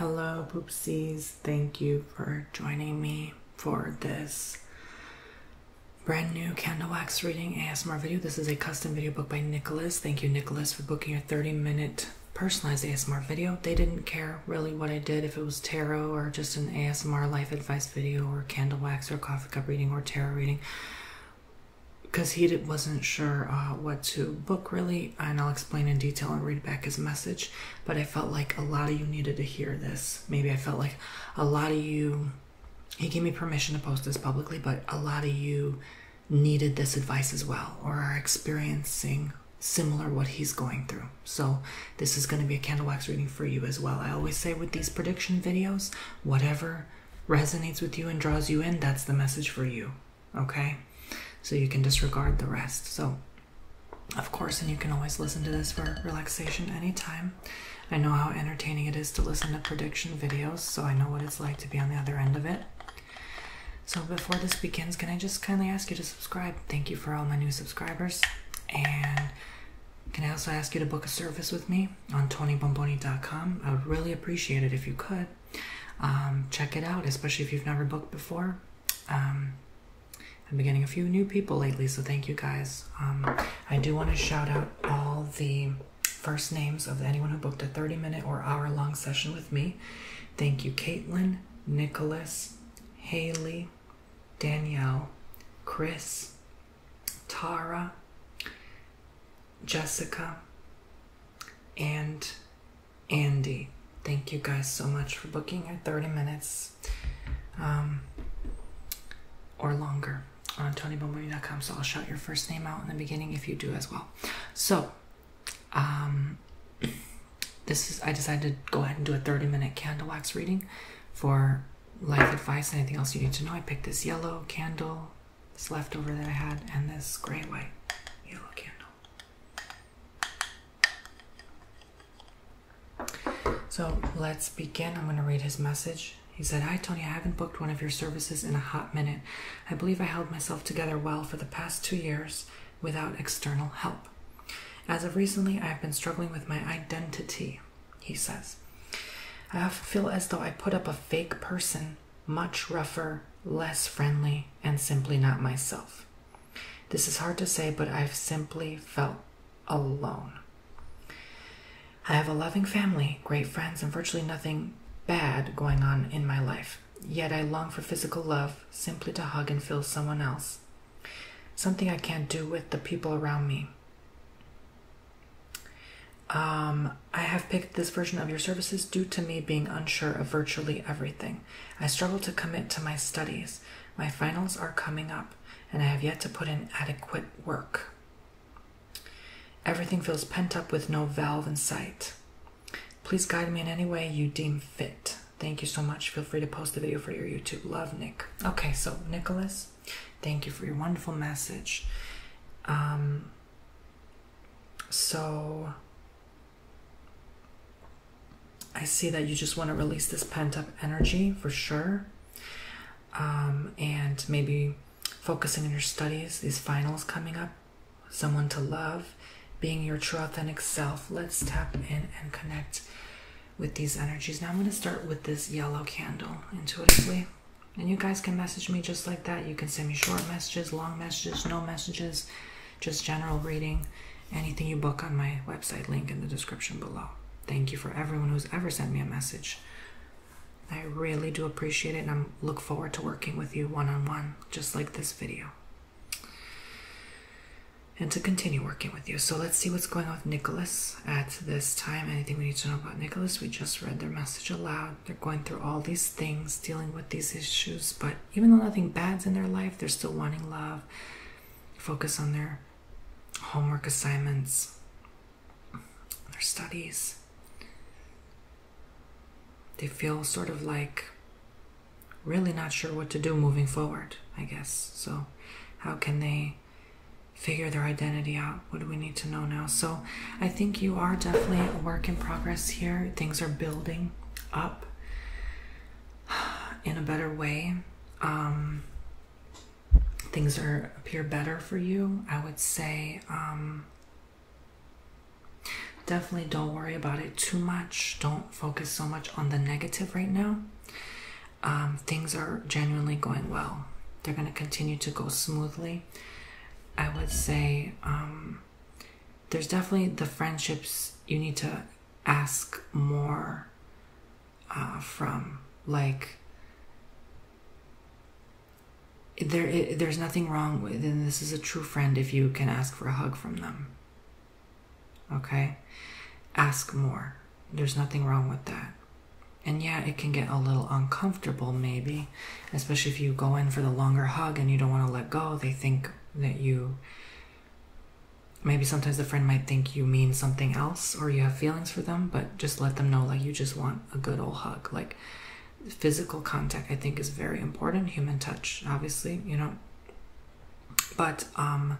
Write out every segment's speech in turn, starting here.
Hello, poopsies. Thank you for joining me for this brand new candle wax reading ASMR video. This is a custom video book by Nicholas. Thank you, Nicholas, for booking a 30 minute personalized ASMR video. They didn't care really what I did, if it was tarot or just an ASMR life advice video or candle wax or coffee cup reading or tarot reading because he wasn't sure uh, what to book really, and I'll explain in detail and read back his message. But I felt like a lot of you needed to hear this. Maybe I felt like a lot of you, he gave me permission to post this publicly, but a lot of you needed this advice as well, or are experiencing similar what he's going through. So this is going to be a candle wax reading for you as well. I always say with these prediction videos, whatever resonates with you and draws you in, that's the message for you okay? So you can disregard the rest. So, of course, and you can always listen to this for relaxation anytime. I know how entertaining it is to listen to prediction videos, so I know what it's like to be on the other end of it. So, before this begins, can I just kindly ask you to subscribe? Thank you for all my new subscribers. And can I also ask you to book a service with me on TonyBomboni.com? I would really appreciate it if you could. Um, check it out, especially if you've never booked before. Um, I've been getting a few new people lately, so thank you guys. Um, I do want to shout out all the first names of anyone who booked a 30 minute or hour long session with me. Thank you, Caitlin, Nicholas, Haley, Danielle, Chris, Tara, Jessica, and Andy. Thank you guys so much for booking your 30 minutes um, or longer on tonybomberry.com. So I'll shout your first name out in the beginning if you do as well. So, um, this is, I decided to go ahead and do a 30 minute candle wax reading for life advice anything else you need to know. I picked this yellow candle, this leftover that I had, and this gray white yellow candle. So let's begin. I'm going to read his message. He said, Hi, Tony. I haven't booked one of your services in a hot minute. I believe I held myself together well for the past two years without external help. As of recently, I have been struggling with my identity, he says. I often feel as though I put up a fake person much rougher, less friendly, and simply not myself. This is hard to say, but I've simply felt alone. I have a loving family, great friends, and virtually nothing bad going on in my life. Yet I long for physical love, simply to hug and feel someone else. Something I can't do with the people around me. Um, I have picked this version of your services due to me being unsure of virtually everything. I struggle to commit to my studies. My finals are coming up, and I have yet to put in adequate work. Everything feels pent up with no valve in sight. Please guide me in any way you deem fit. Thank you so much. Feel free to post the video for your YouTube. Love, Nick. Okay, so Nicholas, thank you for your wonderful message. Um, so I see that you just want to release this pent up energy for sure. Um, and maybe focusing on your studies, these finals coming up, someone to love, being your true authentic self. Let's tap in and connect with these energies. Now I'm going to start with this yellow candle intuitively. And you guys can message me just like that. You can send me short messages, long messages, no messages just general reading, anything you book on my website link in the description below. Thank you for everyone who's ever sent me a message. I really do appreciate it and I look forward to working with you one on one, just like this video. And to continue working with you. So let's see what's going on with Nicholas at this time. Anything we need to know about Nicholas? We just read their message aloud. They're going through all these things, dealing with these issues, but even though nothing bad's in their life, they're still wanting love. Focus on their homework assignments, their studies. They feel sort of like really not sure what to do moving forward, I guess. So, how can they figure their identity out? What do we need to know now? So, I think you are definitely a work in progress here. Things are building up in a better way. Um, things are appear better for you. I would say um, definitely don't worry about it too much. Don't focus so much on the negative right now. Um, things are genuinely going well. They're going to continue to go smoothly. I would say there's definitely the friendships you need to ask more uh, from. Like, there, there's nothing wrong with, this is a true friend if you can ask for a hug from them. Okay? Ask more. There's nothing wrong with that. And yeah, it can get a little uncomfortable, maybe, especially if you go in for the longer hug and you don't want to let go. They think that you maybe sometimes the friend might think you mean something else or you have feelings for them but just let them know like you just want a good old hug like physical contact i think is very important human touch obviously you know but um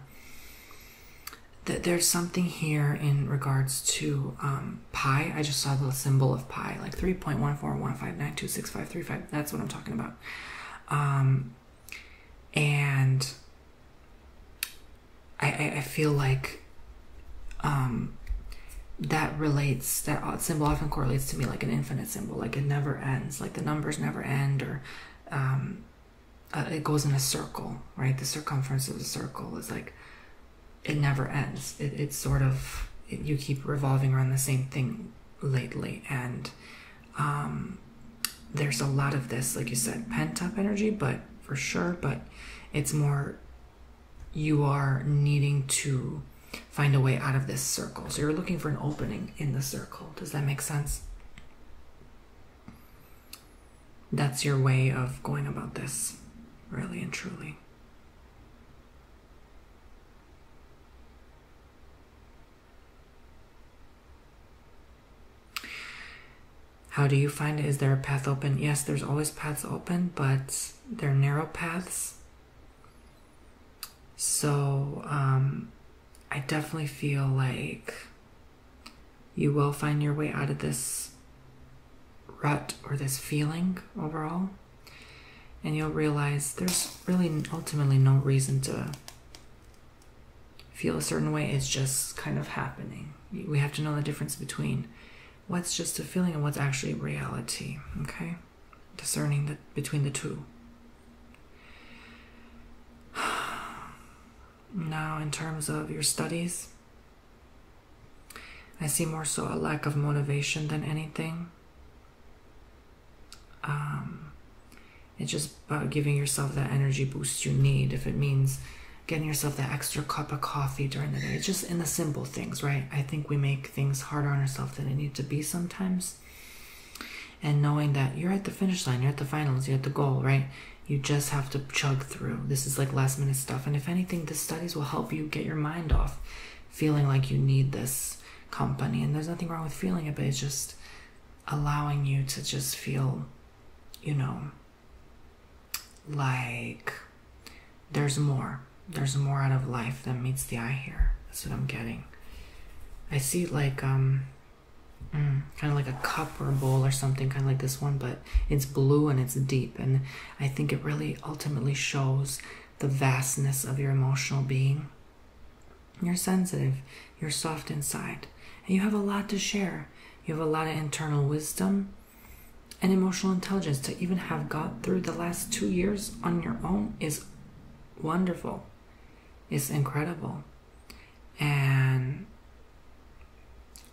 that there's something here in regards to um pi i just saw the symbol of pi like three point one four one five nine two six five three five. that's what i'm talking about um, and I, feel like um, that relates, that symbol often correlates to me like an infinite symbol, like it never ends, like the numbers never end, or um, uh, it goes in a circle, right? The circumference of the circle is like it never ends. it's sort of, you keep revolving around the same thing lately, and um, there's a lot of this, like you said, pent up energy, but for sure, but it's more you are needing to find a way out of this circle. So you're looking for an opening in the circle. Does that make sense? That's your way of going about this, really and truly. How do you find it? Is there a path open? Yes, there's always paths open, but they're narrow paths. So, um, I definitely feel like you will find your way out of this rut or this feeling overall. And you'll realize there's really ultimately no reason to feel a certain way is just kind of happening. We have to know the difference between what's just a feeling and what's actually reality, okay? Discerning the, between the two. Now, in terms of your studies, I see more so a lack of motivation than anything. Um, it's just about giving yourself that energy boost you need. If it means getting yourself that extra cup of coffee during the day, it's just in the simple things, right? I think we make things harder on ourselves than it needs to be sometimes. And knowing that you're at the finish line, you're at the finals, you're at the goal, right? You just have to chug through. This is like last minute stuff. And if anything, the studies will help you get your mind off feeling like you need this company. And there's nothing wrong with feeling it, but it's just allowing you to just feel, you know, like there's more. There's more out of life than meets the eye here. That's what I'm getting. I see like um mm, kind of like a cup or a bowl or something, kind of like this one, but it's blue and it's deep. And I think it really ultimately shows the vastness of your emotional being you're sensitive, you're soft inside, and you have a lot to share. You have a lot of internal wisdom and emotional intelligence to even have got through the last two years on your own is wonderful. It's incredible. And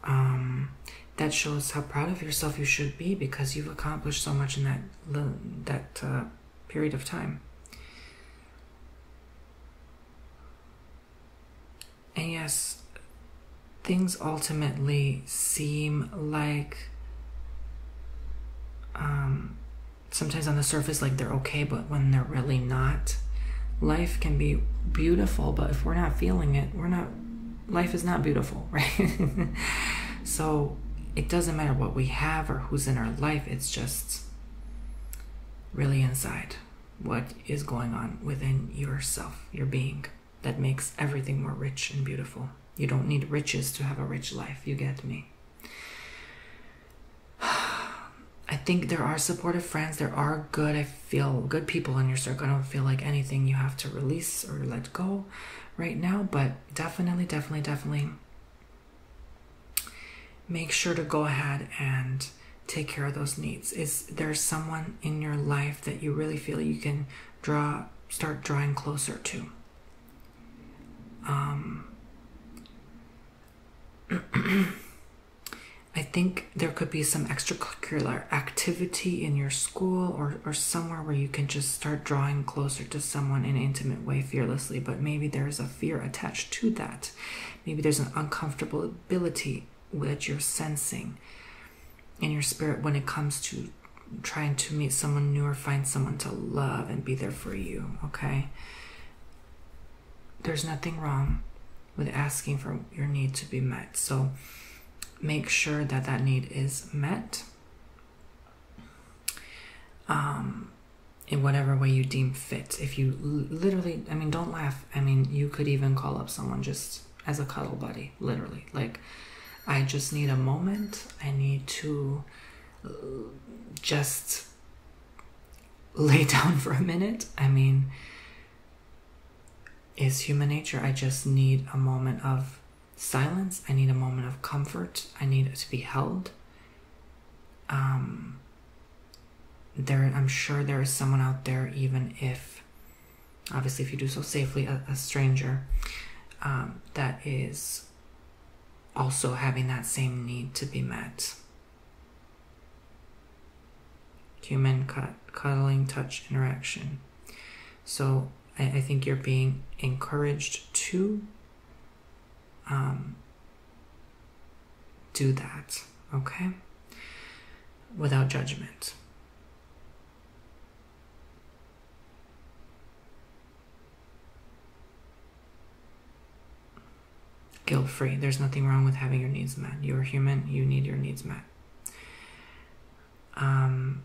um, that shows how proud of yourself you should be because you've accomplished so much in that that uh, period of time. And yes, things ultimately seem like um, sometimes on the surface like they're okay, but when they're really not. Life can be beautiful, but if we're not feeling it, we're not, life is not beautiful, right? so it doesn't matter what we have or who's in our life, it's just really inside what is going on within yourself, your being, that makes everything more rich and beautiful. You don't need riches to have a rich life, you get me. I think there are supportive friends, there are good, I feel good people in your circle. I don't feel like anything you have to release or let go right now, but definitely, definitely, definitely make sure to go ahead and take care of those needs. Is there someone in your life that you really feel you can draw, start drawing closer to? Um, I think there could be some extracurricular activity in your school or, or somewhere where you can just start drawing closer to someone in an intimate way fearlessly, but maybe there is a fear attached to that. Maybe there's an uncomfortable ability that you're sensing in your spirit when it comes to trying to meet someone new or find someone to love and be there for you, okay? There's nothing wrong with asking for your need to be met. So make sure that that need is met. Um, in whatever way you deem fit. If you literally, I mean, don't laugh. I mean, you could even call up someone just as a cuddle buddy, literally. Like, I just need a moment. I need to uh, just lay down for a minute. I mean, is human nature. I just need a moment of silence. I need a moment of comfort. I need to be held. Um, there i'm sure there is someone out there even if obviously if you do so safely a, stranger um, that is also having that same need to be met human cut, cuddling touch interaction so I think you're being encouraged to um, do that, okay? Without judgment. Guilt free. There's nothing wrong with having your needs met. You're human, you need your needs met. Um,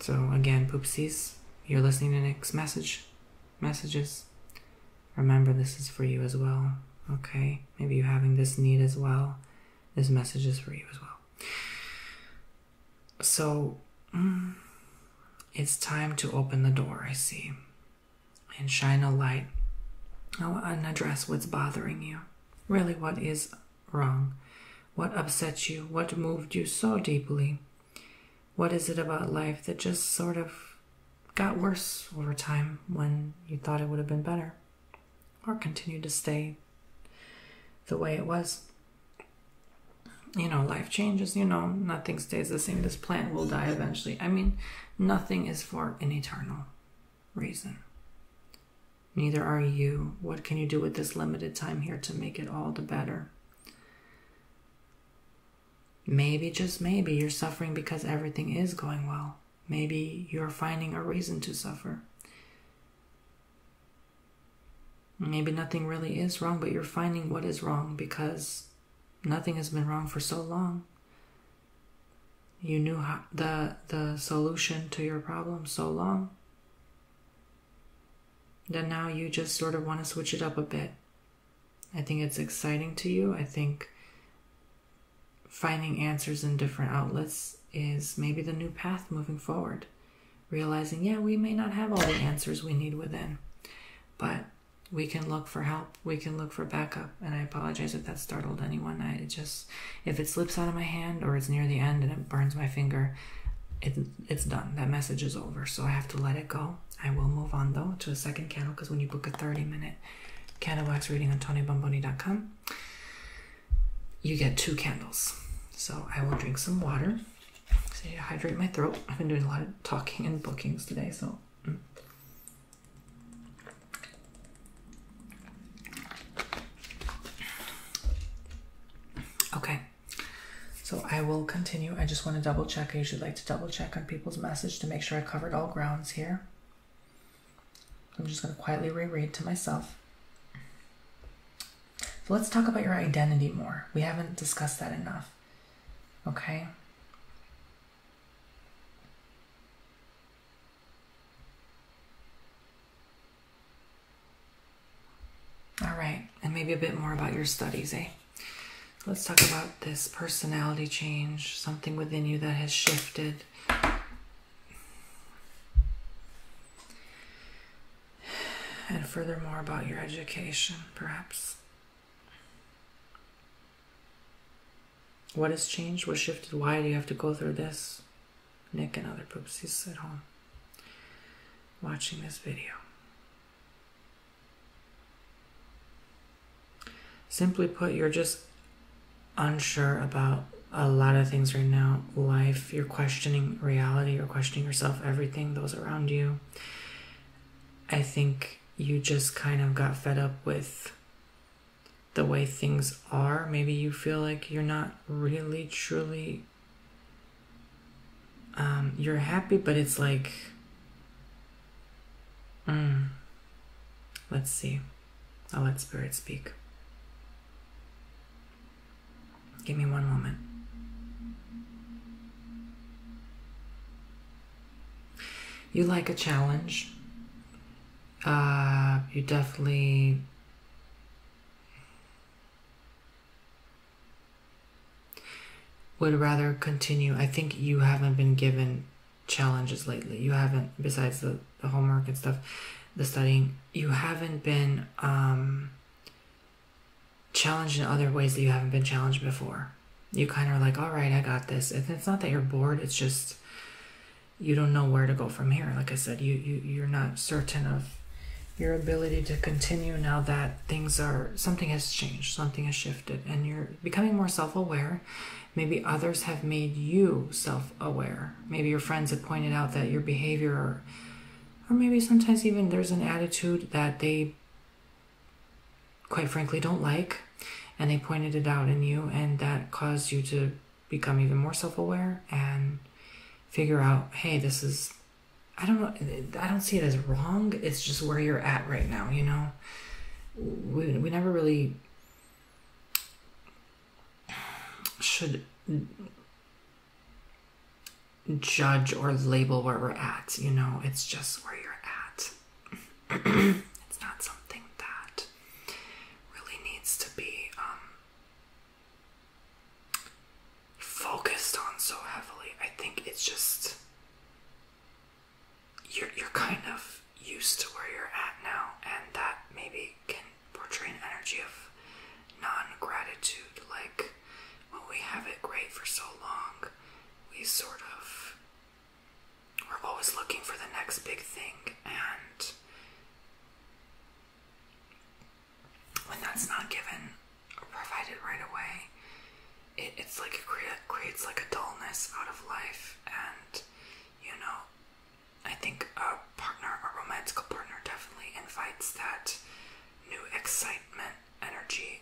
so again, poopsies, you're listening to Nick's message, messages. Remember, this is for you as well. Okay? Maybe you're having this need as well. This message is for you as well. So, mm, it's time to open the door, I see, and shine a light and address what's bothering you. Really, what is wrong? What upset you? What moved you so deeply what is it about life that just sort of got worse over time when you thought it would have been better or continued to stay the way it was? You know, life changes, you know, nothing stays the same. This plant will die eventually. I mean, nothing is for an eternal reason. Neither are you. What can you do with this limited time here to make it all the better? Maybe, just maybe, you're suffering because everything is going well. Maybe you're finding a reason to suffer. Maybe nothing really is wrong, but you're finding what is wrong because nothing has been wrong for so long. You knew the the solution to your problem so long. that now you just sort of want to switch it up a bit I think it's exciting to you. I think finding answers in different outlets is maybe the new path moving forward. Realizing, yeah, we may not have all the answers we need within, but we can look for help, we can look for backup. And I apologize if that startled anyone. I just, if it slips out of my hand or it's near the end and it burns my finger, it, it's done. That message is over. So I have to let it go. I will move on though to a second candle because when you book a 30 minute candle wax reading on TonyBomboni.com, you get two candles. So I will drink some water So to hydrate my throat. I've been doing a lot of talking and bookings today, so. Mm. Okay, so I will continue. I just want to double check. I usually like to double check on people's message to make sure I covered all grounds here. I'm just going to quietly reread to myself. let's talk about your identity more. We haven't discussed that enough. Okay? All right, and maybe a bit more about your studies, eh? Let's talk about this personality change, something within you that has shifted. And furthermore, about your education, perhaps. What has changed? What shifted? Why do you have to go through this? Nick and other poopsies at home watching this video. Simply put, you're just unsure about a lot of things right now life you're questioning reality you're questioning yourself everything those around you i think you just kind of got fed up with the way things are maybe you feel like you're not really truly um, you're happy but it's like Mm. Let's see. I'll let Spirit speak. Give me one moment. You like a challenge. Uh, you definitely would rather continue. I think you haven't been given challenges lately. You haven't, besides the, the homework and stuff, the studying, you haven't been um, challenged in other ways that you haven't been challenged before. You kind of like, all right, I got this. it's not that you're bored, it's just you don't know where to go from here. Like I said, you, you, you're not certain of your ability to continue now that things are something has changed something has shifted and you're becoming more self-aware Maybe others have made you self aware. Maybe your friends have pointed out that your behavior, or, or maybe sometimes even there's an attitude that they quite frankly don't like and they pointed it out in you and that caused you to become even more self-aware and figure out hey this is i don't know i don't see it as wrong it's just where you're at right now you know we, we never really should judge or label where we're at. You know, it's just where you're at. it's not something that really needs to be um, focused on so heavily. I think it's just you're you're kind of used to where you're at now, and that maybe can portray an energy of non-gratitude, like when we have it great for so long, we sort of we're always looking for the next big thing, and when that's not given or provided right away, it, it's like it creates like a dullness out of life, and you know, I think a partner, a romantical partner, definitely invites that new excitement energy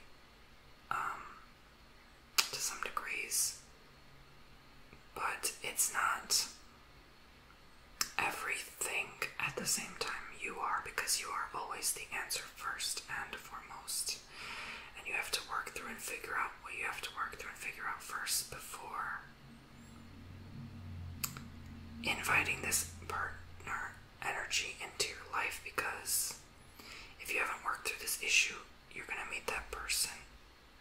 um, to some degrees. But it's not everything at the same time you are because you are always the answer first and foremost and you have to work through and figure out what you have to work through and figure out first before inviting this partner energy into your life because if you haven't worked through this issue, you're going to meet that person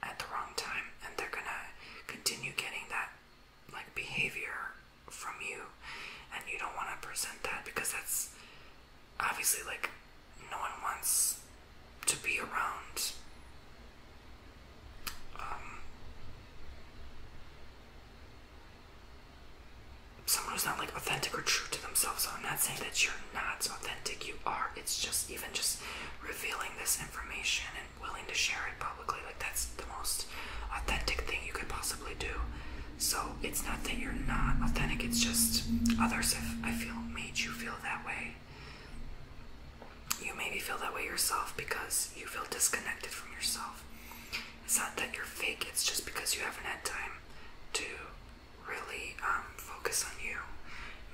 at the wrong time and they're going to continue getting that like behavior from you and you don't want to present that because that's obviously like no one wants to be around. Um, someone who's not like authentic or true to themselves. So I'm not saying that you're not authentic, you are. It's just even just revealing this information and willing to share it publicly. Like that's the most authentic thing you could possibly do. So it's not that you're not authentic, it's just others have I feel made you feel that way. You maybe feel that way yourself because you feel disconnected from yourself. It's not that you're fake, it's just because you haven't had time to really um, focus on you.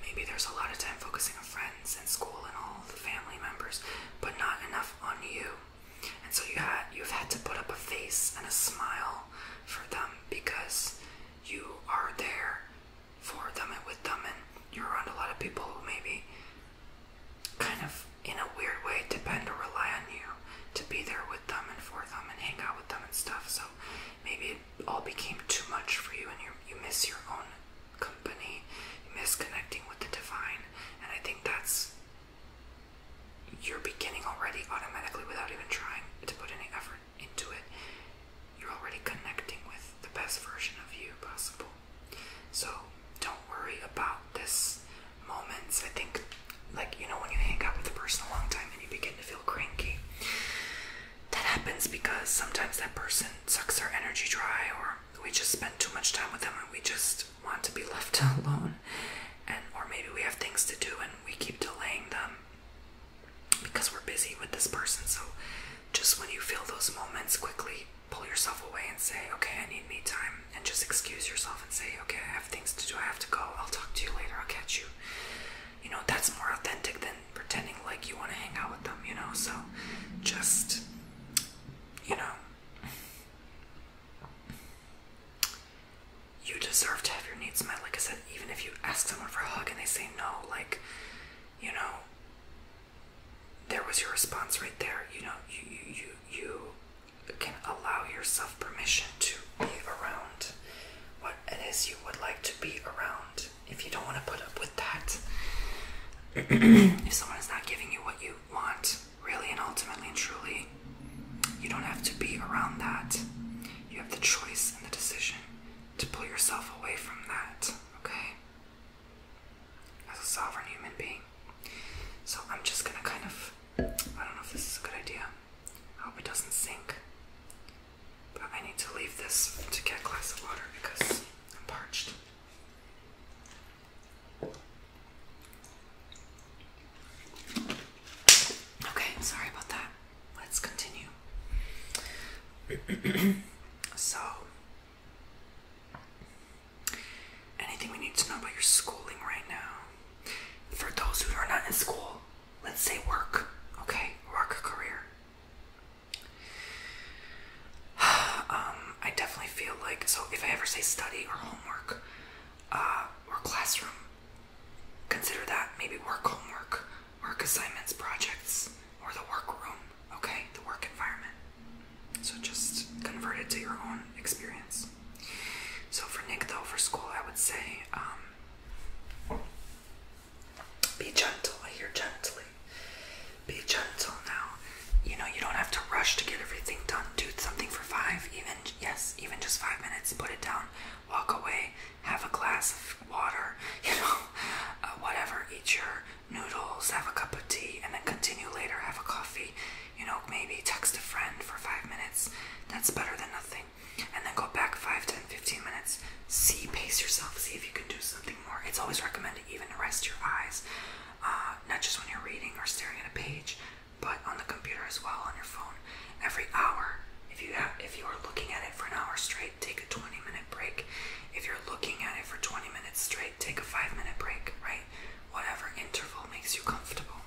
Maybe there's a lot of time focusing on friends and school and all the family members, but not enough on you. And so you had, you've had to put up a face and a smile for them because you are there for them and with them, and you're around a lot of people who maybe kind of in a weird way depend or rely on you to be there with them and for them and hang out with them and stuff. So maybe it all became too much for you, and you you miss your own company, you miss connecting with the divine, and I think that's you're beginning already automatically without even trying to put any effort into it, you're already connecting with the best version of you possible. So don't worry about this moments. I think, like, you know, when you hang out with a person a long time and you begin to feel cranky, that happens because sometimes that person sucks our energy dry or we just spend too much time with them and we just want to be left alone and or maybe we have things to do and we keep delaying them because we're busy with this person. So just when you feel those moments, quickly pull yourself away and say, okay, I need me time. And just excuse yourself and say, okay, I have things to do. I have to go. I'll talk to you later. I'll catch you. You know, that's more authentic than pretending like you want to hang out with them, you know? So just, you know, you deserve to have your needs met. Like I said, even if you ask someone for a hug and they say no, like, you know, there was your response right there. You know, you you you you can allow yourself permission to be around what it is you would like to be around. If you don't want to put up with that, if someone is not giving you what you want, really and ultimately and truly, you don't have to be around that. You have the choice and the decision to pull yourself away from that okay? As a sovereign human being. So I'm just gonna kind of, I don't know if this is a good idea. I hope it doesn't sink. But I need to leave this to get a glass of water because I'm parched. Okay, sorry about that. Let's continue. So, anything we need to know about your schooling right now? For those who are not in school, let's say work, okay? Work, career. um, I definitely feel like, so if I ever say study or homework uh, or classroom, consider that maybe work homework work assignments, projects, or the workroom, okay? The work environment. So just convert it to your own experience. So for Nick, though, for school, I would say um, be gentle. I hear gently. Be gentle now. You know, you don't have to rush to get everything done. Do something for five, even, yes, even just five minutes. Put it down, walk away, have a glass of water, you know, uh, whatever. Eat your noodles, have a cup of tea, and then continue later. Have a coffee, you know, maybe text a friend for five minutes. That's better than nothing. And then go back five, ten, fifteen minutes. See, pace yourself, see if you can do something more. It's always recommended even to rest your eyes, uh, not just when you're reading or staring at a page, but on the computer as well, on your phone. Every hour, if you have, if you are looking at it for an hour straight take a 20 minute break. If you're looking at it for 20 minutes straight, take a 5 minute break, right? Whatever interval makes you comfortable.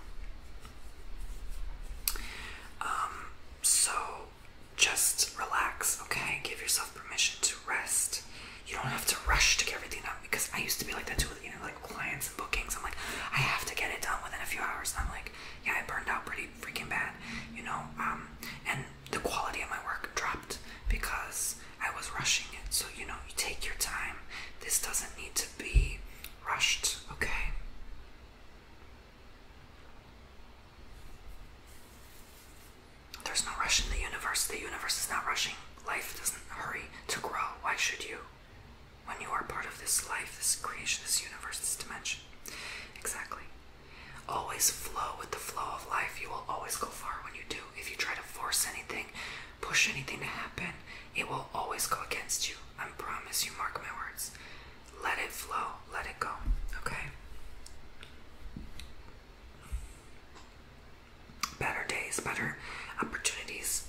Um, so just relax, okay? Give yourself permission to rest. You don't have to rush to get everything done because I used to be like that too with you know like clients and bookings. I'm like, I have to get it done within a few hours. And I'm like, yeah, I burned out pretty freaking bad, you know. Um, and the quality of my work dropped because I was rushing it. So, you know, you take your time. This doesn't need to be rushed, okay? There's no rush in the universe. The universe is not rushing. Life doesn't hurry to grow. Why should you? When you are part of this life, this creation, this universe, this dimension. Exactly. Always flow with the flow of life. You will always go far when you do. If you try to force anything, push anything to happen, it will always go against you. I promise you, mark my words. Let it flow, let it go, okay? Better days, better opportunities,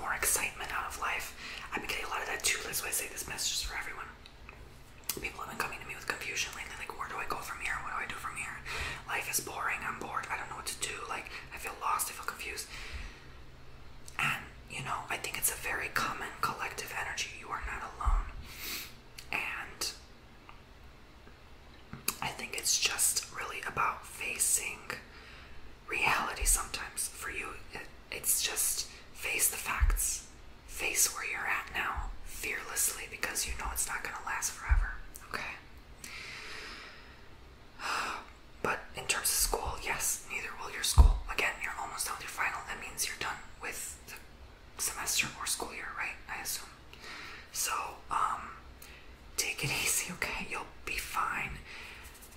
more excitement out of life. I've been getting a lot of that too. That's why say this message is for everyone people have been coming to me with confusion lately, like where do I go from here? What do I do from here? Life is boring, I'm bored, I don't know what to do, like I feel lost, I feel confused. And you know, I think it's a very common collective energy. You are not alone. And I think it's just really about facing reality sometimes. For you, it's just face the facts face where you're at now fearlessly because you know it's not going to last forever. Okay? But in terms of school, yes, neither will your school. Again, you're almost done with your final. That means you're done with the semester or school year, right? I assume. So, um, take it easy, okay? You'll be fine.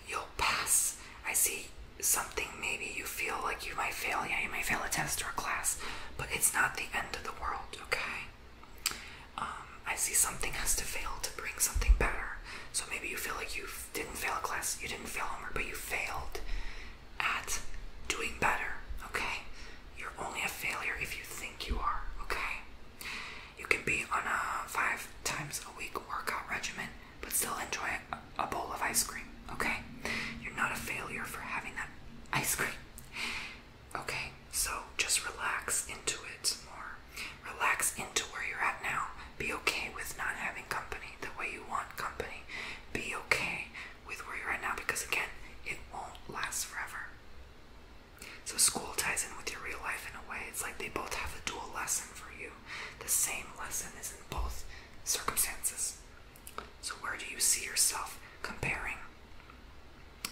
You'll pass. I see something maybe you feel like you might fail, yeah, you might fail a test or a class, but it's not the end of the world, okay? Um, I see something has to fail to bring something better. So maybe you feel like you didn't fail a class, you didn't fail homework, but you failed at doing better, okay? You're only a failure if you think you are, okay? You can be on a five times a week workout regimen, but still enjoy a bowl of ice cream, okay? You're not a failure for having that ice cream. Okay, so just relax into it more. Relax into where you're at now. Be okay with not having company the way you want company. Be okay with where you're at now because, again, it won't last forever. So, school ties in with your real life in a way. It's like they both have a dual lesson for you. The same lesson is in both circumstances. So, where do you see yourself comparing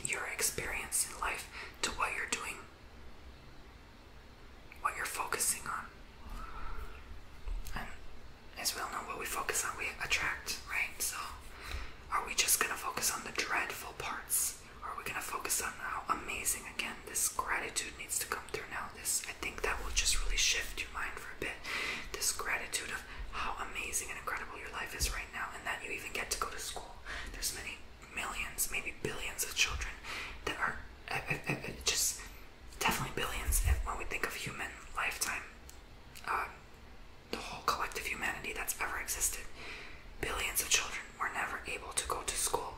your experience in life to what you're doing, what you're focusing on? And as we all know, what we focus on, we attract, right? So, are we just going to focus on the dreadful parts? Or are we going to focus on how amazing, again, this gratitude needs to come through now? This, I think that will just really shift your mind for a bit. This gratitude of how amazing and incredible your life is right now, and that you even get to go to school. There's many millions, maybe billions of children that are uh, uh, uh, just definitely billions. And when we think of human lifetime, the whole collective humanity that's ever existed, billions of children were never able to go to school.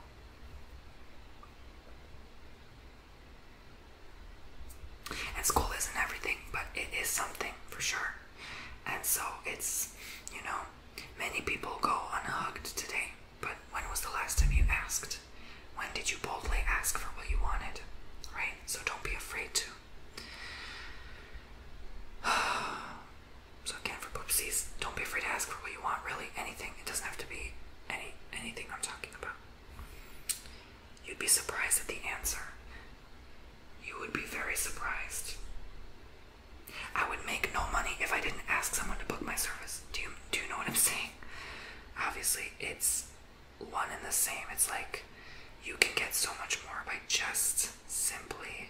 And school isn't everything, but it is something for sure. And so it's, you know, many people go unhugged today. But when was the last time you asked? When did you boldly ask for what you wanted? Right? So don't be afraid to. so again, for poopsies, don't be afraid to ask for what you want. Really, anything. It doesn't have to be any anything I'm talking about. You'd be surprised at the answer. You would be very surprised. I would make no money if I didn't ask someone to book my service. Do you do you know what I'm saying? Obviously, it's one and the same. It's like you can get so much more by just simply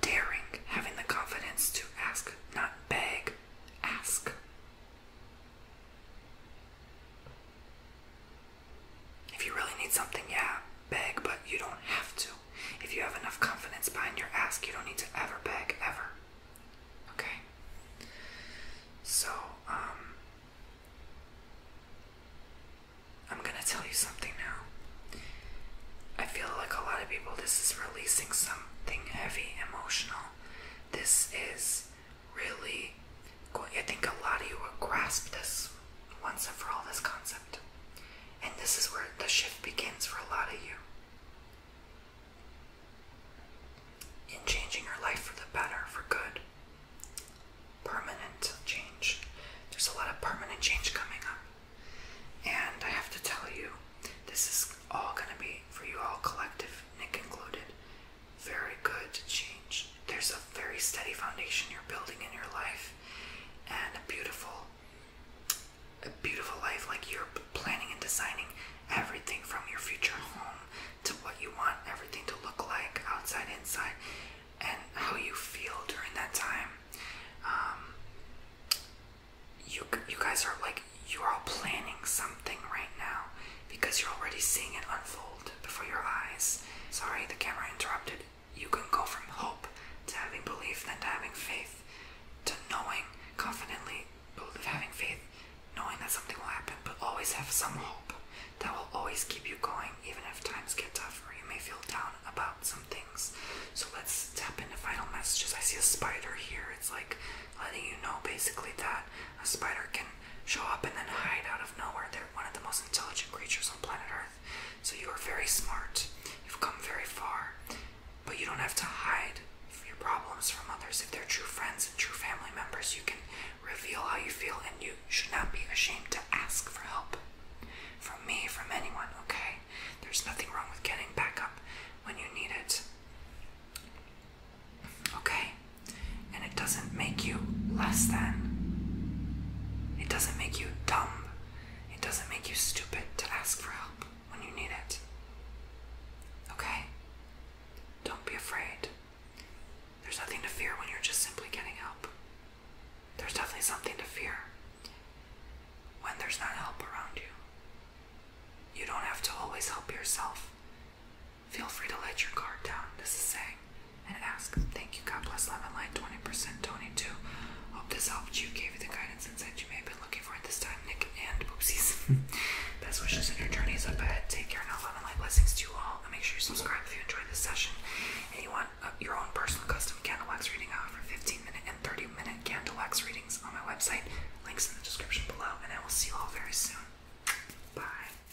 daring, having the confidence to ask, not beg, ask. If you really need something, yeah, beg, but you don't have to. If you have enough confidence behind your ask, you don't need to ever beg, ever. Okay? So, um, I'm gonna tell you something now. I feel like a lot of people, this is releasing something heavy, emotional. This is really I think a lot of you will grasp this once and for all this concept. And this is where the shift begins for a lot of you. In changing your life for the better, for good. Permanent change. There's a lot of permanent change coming up. And I have to tell you, this is all going to be for you all, collective, Nick included very good change. There's a very steady foundation you're building in your life and a beautiful a beautiful life like you're planning and designing everything from your future home to what you want everything to look like outside inside and how you feel during that time um, you, you guys are like you're all planning something right now because you're already seeing it unfold before your eyes. Sorry, the camera interrupted. You can go from hope to having belief, then to having faith, to knowing confidently, having faith, knowing that something will happen, but always have some hope that will always keep you going, even if times get tough or you may feel down about some things. So let's tap into final messages. I see a spider here. It's like letting you know basically that a spider can show up and then hide out of nowhere. They're one of the most intelligent creatures on planet Earth. So you are very smart. You've come very far. But you don't have to hide your problems from others. If they're true friends and true family members, you can reveal how you feel and you should not be ashamed to ask for help. From me, from anyone, okay? There's nothing wrong with getting back up when you need it. Okay? And it doesn't make you less than. It doesn't make you dumb. It doesn't make you stupid to ask for help when you need it. Okay? Don't be afraid. There's nothing to fear when you're just simply getting help. There's definitely something to fear when there's not help around you. You don't have to always help yourself Feel free to let your guard down, this is saying, and ask, Thank you, God bless Lemon Light, 20% Tony 2. Hope this helped you, gave you the guidance insight you may have been looking for at this time, Nick and Boopsies. Best wishes in your journeys up ahead. Take care now, Lemon Light. Blessings to you all. And make sure you subscribe if you enjoyed this session and you uh, want your own personal custom candle wax reading out for 15 minute and 30 minute candle wax readings on my website. Links in the description below, and I will see you all very soon. Bye.